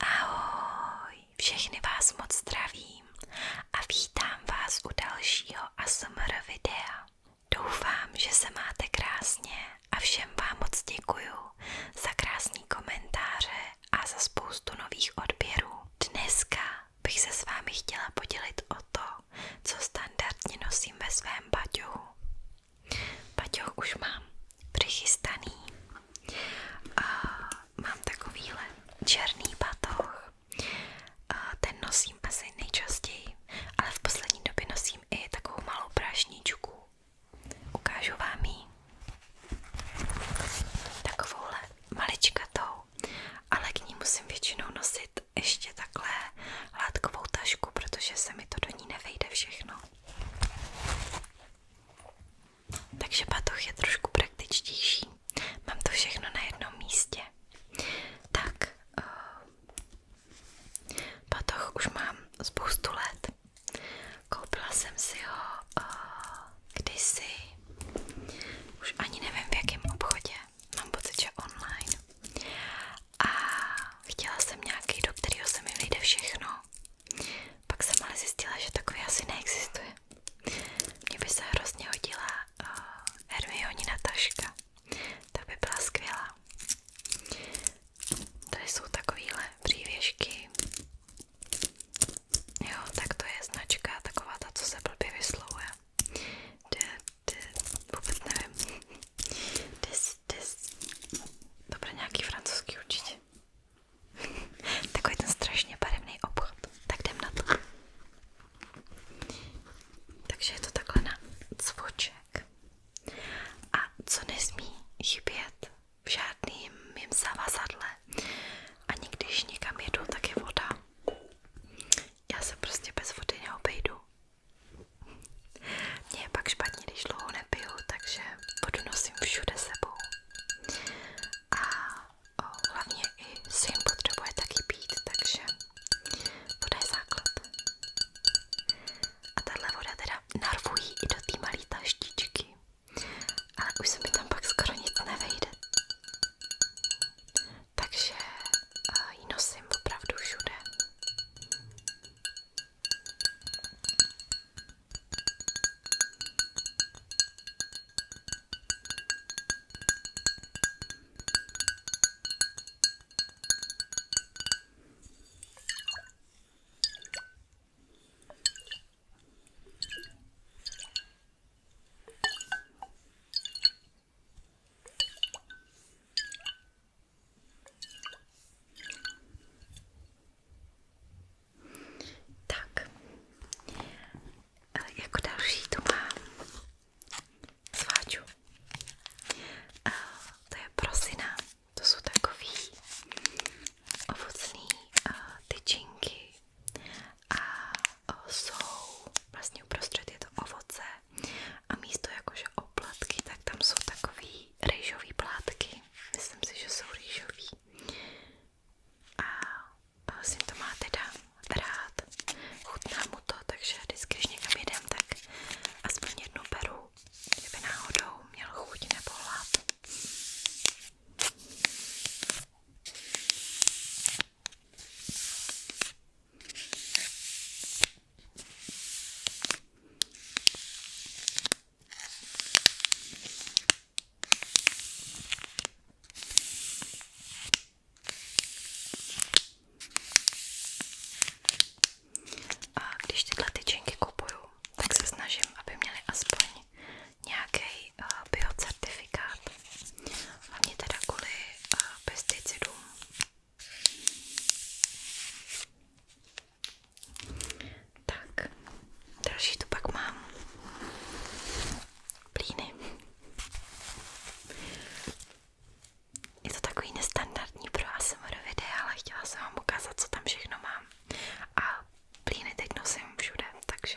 Ahoj, všechny vás moc zdravím a vítám vás u dalšího ASMR videa. Doufám, že se máte krásně a všem vám moc děkuju za krásný komentáře a za spoustu nových odběrů. Dneska bych se s vámi chtěla podělit o to, co standardně nosím ve svém baťohu. Baťoh už mám přichystaný. A mám takovýhle černý batoh. A ten nosím asi nejčastěji, ale v poslední době nosím i takovou malou prašničku. Ukážu vám ji. Takovouhle maličkatou tašku, ale k ní musím většinou nosit ještě takhle látkovou tašku, protože se mi to do ní nevejde všechno. Takže batoh je trošku praktičtější. Mám to všechno na jednom místě. Tak, eh, batoh už mám spoustu let. Koupila jsem si ho eh, kdysi, už ani nevím v jakém obchodě, mám pocit, že online. A chtěla jsem nějaký, do kterého se mi vyjde všechno. Pak jsem ale zjistila, že takový asi neexistuje. Mně by se hrozně hodila uh, eh, Hermionina taška. Ta by byla skvělá. Tady jsou takovéhle přívěšky. Jo, tak to je značka taková ta, co se blbě vyslovuje. De, de, vůbec nevím. Des, des. Dobré, nějaký francouzský určitě. Takový ten strašně barevný obchod. Tak jdem na to. Takže je to takhle na cvoček. A co nesmí chybět v žádným mým zavazadle. Ani když někam jedu, tak je voda. Já se prostě bez vody neobejdu. Mně je pak špatně, když dlouho nepiju, takže vodu nosím všude sebou. A o, hlavně i syn potřebuje taky pít, takže voda je základ. A tahle voda teda narvují i do té malé taštičky, ale už se mi tam pak skoro nic nevejde takže eh, ji nosím opravdu všude. Tak, eh, jako další to mám sváču. Eh, to je prosina, to jsou takový ovocný eh, tyčinky a jsou vlastně uprostřed je to ovoce a místo jakože oplatky, tak tam jsou takový rýžový plátky, myslím si, že jsou rýžový a syn to má teda rád, chutná mu to, takže vždycky, když někam jedem, tak aspoň jednu beru, kdyby náhodou měl chuť nebo hlad. A když tyhle tyčinky kupuju, tak se snažím, aby měly aspoň nějaký mají eh, biocertifikát, hlavně teda kvůli eh, pesticidům. Tak, další tu mám plíny. Je to takový nestandardní pro ale chtěla jsem vám co tam všechno mám. A plíny teď nosím všude, takže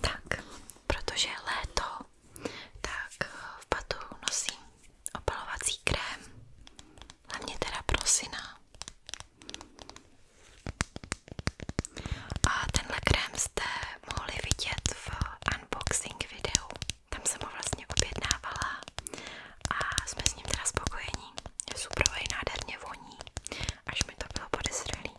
Tak, protože je léto, tak eh, v batu nosím opalovací krém, hlavně teda prosina. A tenhle krém jste mohli vidět v unboxing videu. Tam jsem ho vlastně objednávala a jsme s ním teda spokojení. Je suprovej, nádherně voní, až mi to bylo podezřelý.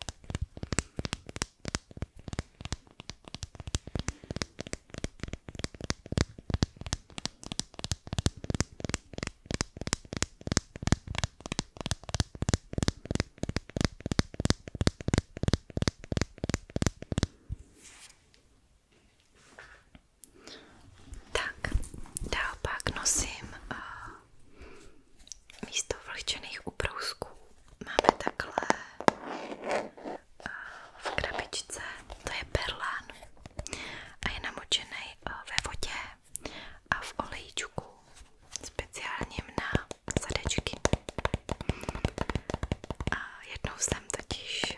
Tak, dál pak nosím uh, místo vlhčených ubrousků. Máme takhle uh, v krabičce, to je perlán a je namočený uh, ve vodě a v olejčku speciálním na zadečky. A jednou jsem totiž eh,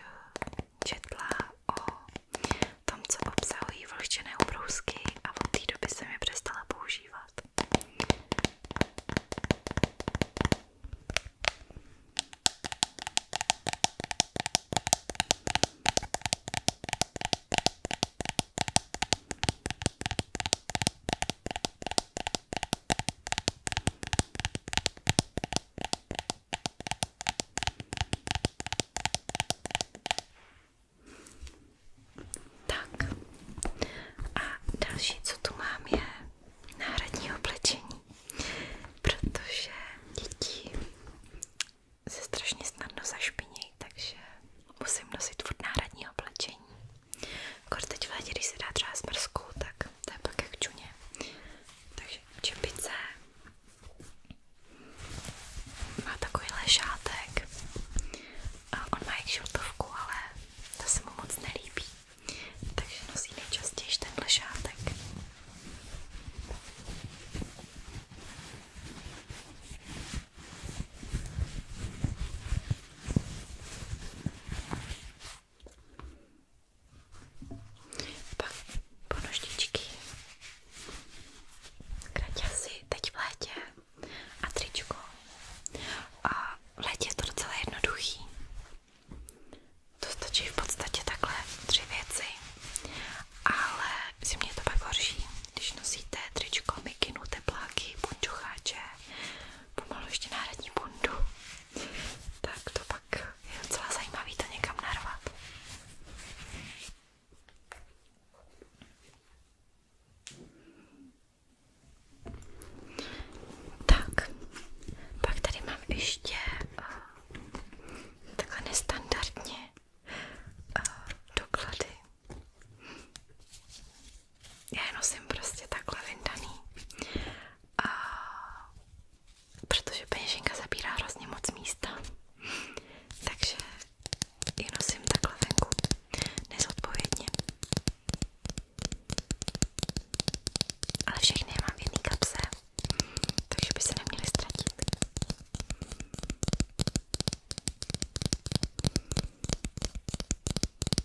četla o tom, co obsahují vlhčené ubrousky a od té doby jsem je přestala používat. Tak a další, co tu mám, je náhradní oblečení, protože děti se strašně snadno zašpinějí, takže musím nosit furt náhradní oblečení. Kor teď v létě, když se dá třeba smrzku, tak to je pak jak čuně. Takže čepice má takovýhle šátek. A on má jak žiltovku, ale to se mu moc nelíbí. Takže nosí nejčastěji tenhle šátek. Pak ponožničky, kraťasy teď v létě a tričko. A v létě je to docela jednoduchý. To stačí v podstatě takhle tři věci, ale zimně je to pak horší, když nosíte tričko, mikinu, tepláky, punčocháče, pomalu ještě náhradní bundu tak to pak je docela zajímavý to někam narvat. Tak, pak tady mám ještě uh, takhle nestandardně uh, doklady. Já je nosím prostě takhle vyndaný a protože peněženka zabírá hrozně moc místa, takže ji nosím takhle venku, nezodpovědně. Ale všechny je mám v jedné kapse, takže by se neměly ztratit.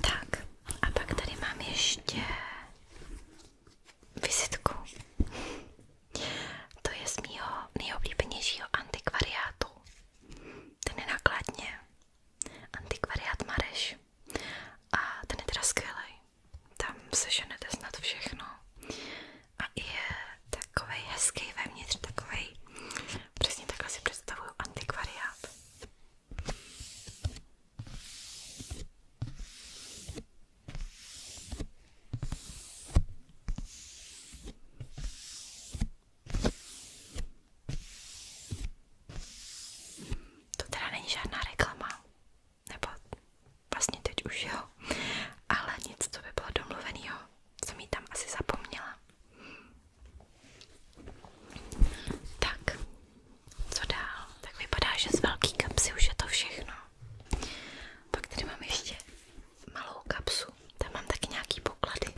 Tak, a pak tady mám ještě vizitku. To je z mýho nejoblíbenějšího antikvariátu. Ten je nákladně. Antikvariát Mareš. A ten je teda skvělej. Tam seženete snad všechno a je takovej hezký vevnitř, takovej, přesně takhle si představuju antikvariát. To teda není žádná reklama, nebo vlastně teď už jo, ale nic, co by bylo domluvenýho jsem ji tam asi zapomněla. Tak, co dál? Tak vypadá, že z velký kapsy už je to všechno. Pak tady mám ještě malou kapsu, tam mám taky nějaký poklady.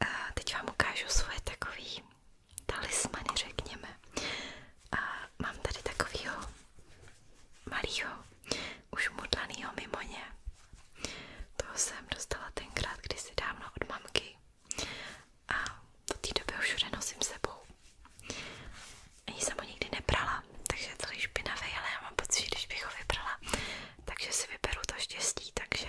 A teď vám ukážu svoje takový talismany, řekněme. A mám tady takovýho malýho, už mudlanýho mimoně. Toho jsem dostala tenkrát kdysi dávno od mamky a od té doby ho všude nosím sebou. Ani jsem ho nikdy neprala, takže je celý špinavý, ale já mám pocit, že když bych ho vybrala, takže si vyberu to štěstí, takže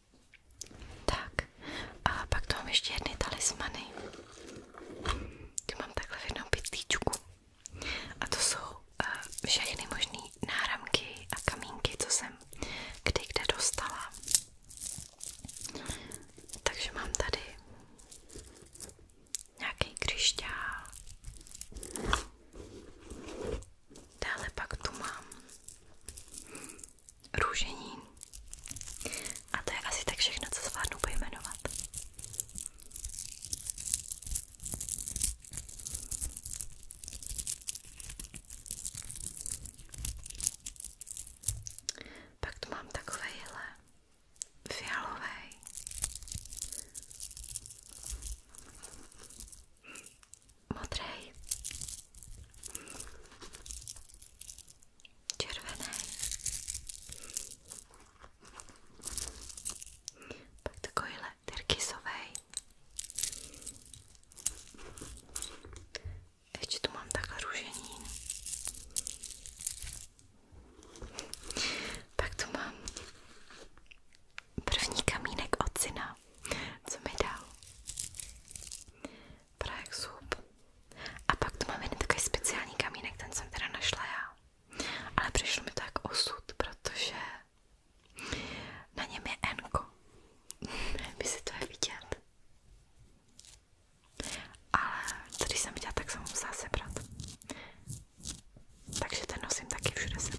Tak, a pak tu mám ještě jedny talismany. Tu mám takhle v jednom pytlíčku. A to jsou uh, všechny možné náramky a kamínky, co jsem kdy kde dostala. Takže mám tady nějaký křišťál. Dále pak tu mám růžení. A to je asi tak všechno, co zvládnu pojmenovat. Pak tu mám takovejhle fialovej. Modrej červený. Pak takovýhle tyrkysovej. Ještě tu mám takhle růženín. Pak tu mám první kamínek od syna, co mi dal prach zub. A pak tu mám jeden takový speciální kamínek, ten jsem teda našla já. Ale přišlo mi to jako osud, protože na něm je enko. Nevím, jestli to je vidět. Ale když jsem viděla, tak jsem ho musela sebrat. Takže ten nosím taky všude sebou.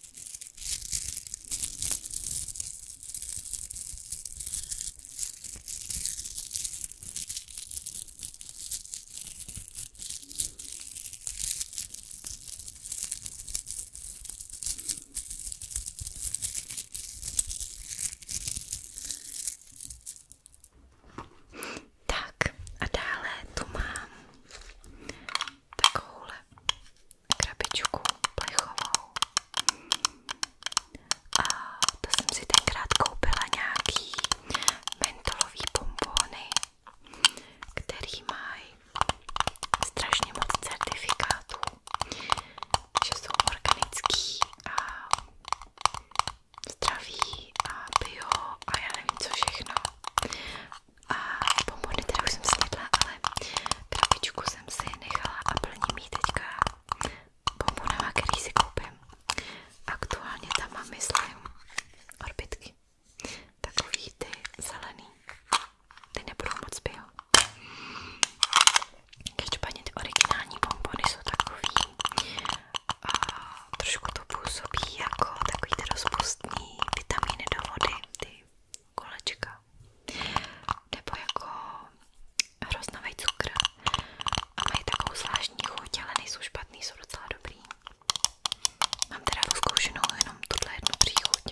Tak a dále tu mám takovouhle krabičku plechovou a to jsem si tenkrát koupila nějaký mentolový bombony, který mají strašně moc certifikátů, že jsou organický a zdraví a bio a já nevím co všechno. A bombony teda už jsem snědla, ale krabičku jsem si a plním ji teďka bombonama, který si koupím. Aktuálně tam mám, myslím, orbitky. Takový ty zelený. Ty nebudou moc bio. Každopádně ty originální bombony jsou takový trošku to působí jako takový ty rozpustný vitamíny do vody, ty kolečka nebo jako hroznový cukr a mají takovou zvláštní chuť, ale nejsou špatný, jsou docela dobrý. Mám teda rozkoušenou jenom tuhle jednu příchuť.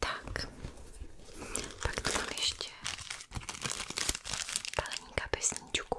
Tak, pak tu mám ještě baleníka pesničku.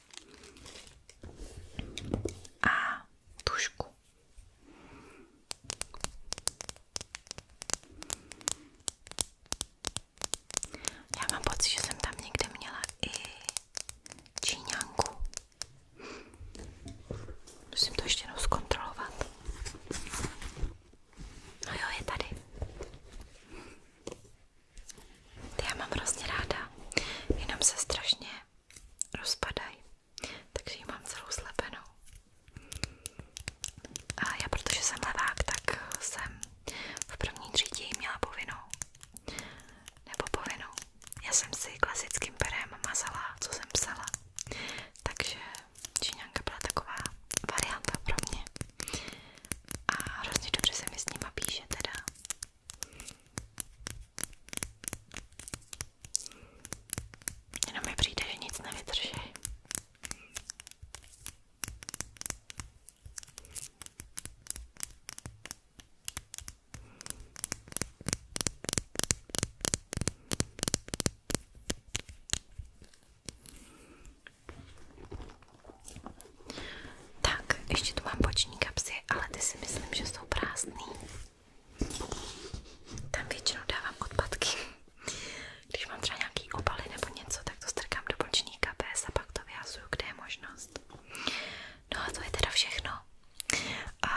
a tušku. Já mám pocit, že jsem tam někde měla i číňanku. Musím to ještě jednou zkontrolovat. No jo, je tady. Ty já mám hrozně ráda, jenom se strašně rozpadají, takže ji mám celou slepenou. A já protože jsem levák, tak jsem v první třídě ji měla povinnou. Nebo povinnou. Já jsem si klasickým perem mazala, co jsem psala. Takže číňanka byla taková varianta pro mě. A hrozně dobře se mi s nima píše teda. Jenom mi přijde, že nic nevydrží. Tak, ještě tu mám boční kapsy, ale ty si myslím, že jsou prázdný. Tam většinou dávám odpadky. Když mám třeba nějaký obaly nebo něco, tak to strkám do bočních kapes a pak to vyhazuju, kde je možnost. No a to je teda všechno. A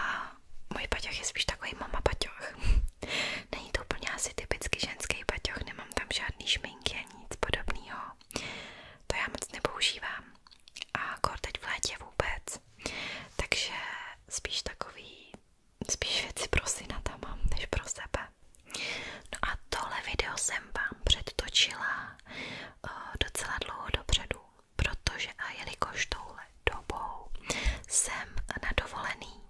můj paťoch je spíš takový mama paťoch. Není to úplně asi typicky ženský paťoch, nemám tam žádný šminky a nic podobného. To já moc nepoužívám a kor teď vůbec, takže spíš takový, spíš věci pro syna mám, než pro sebe. No a tohle video jsem vám předtočila eh, docela dlouho dopředu, protože a jelikož touhle dobou jsem na dovolený,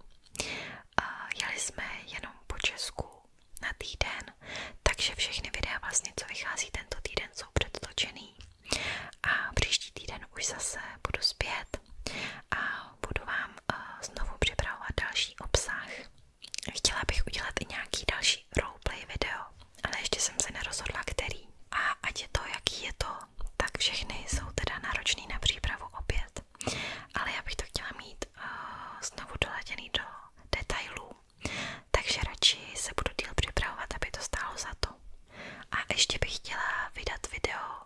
jeli jenom po Česku na týden, takže všechny videa vlastně, co vychází tento týden, týden jsou předtočený a příští týden už zase budu zpět a budu vám eh, znovu připravovat další obsah. Chtěla bych udělat i nějaký další roleplay video, ale ještě jsem se nerozhodla, který. A ať je to, jaký je to, tak všechny jsou teda náročný na přípravu opět. Ale já bych to chtěla mít uh, znovu doladěný do detailů takže radši se budu díl připravovat, aby to stálo za to. A ještě bych chtěla vydat video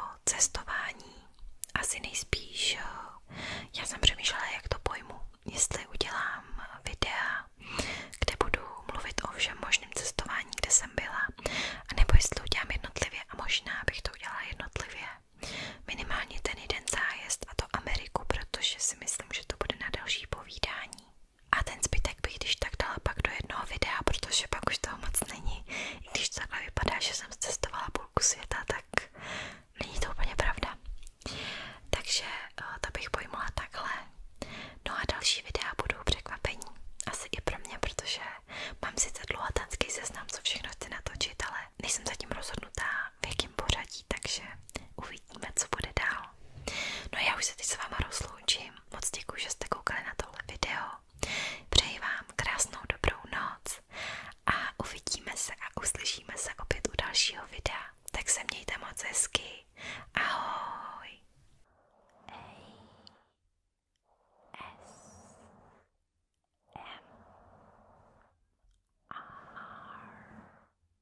o cestování. Asi nejspíš, eh, já jsem přemýšlela, jak to pojmu. Jestli udělám videa, kde budu mluvit o všem možném cestování, kde jsem byla, nebo jestli udělám jednotlivě a možná bych to udělala jednotlivě. Minimálně ten jeden zájezd a to Ameriku, protože si myslím, že to bude na další povídání snídaní. A ten zbytek bych když tak dala pak do jednoho videa, protože pak už toho moc není. I když takhle vypadá, že jsem cestovala půlku světa, tak není to úplně pravda. Takže eh, to bych pojmula takhle. No a další videa budou překvapení. Asi i pro mě, protože mám sice dlouhatanský seznam, co všechno chci natočit, ale nejsem zatím rozhodnutá, v jakém nějakým pořadí, takže uvidíme, co bude dál. No já už se teď s váma rozloučím. Moc děkuji, že jste koukali na tohle video. Přeji vám krásnou dobrou noc a uvidíme se a uslyšíme se opět u dalšího videa. Tak se mějte moc hezky. Ahoj! A S M R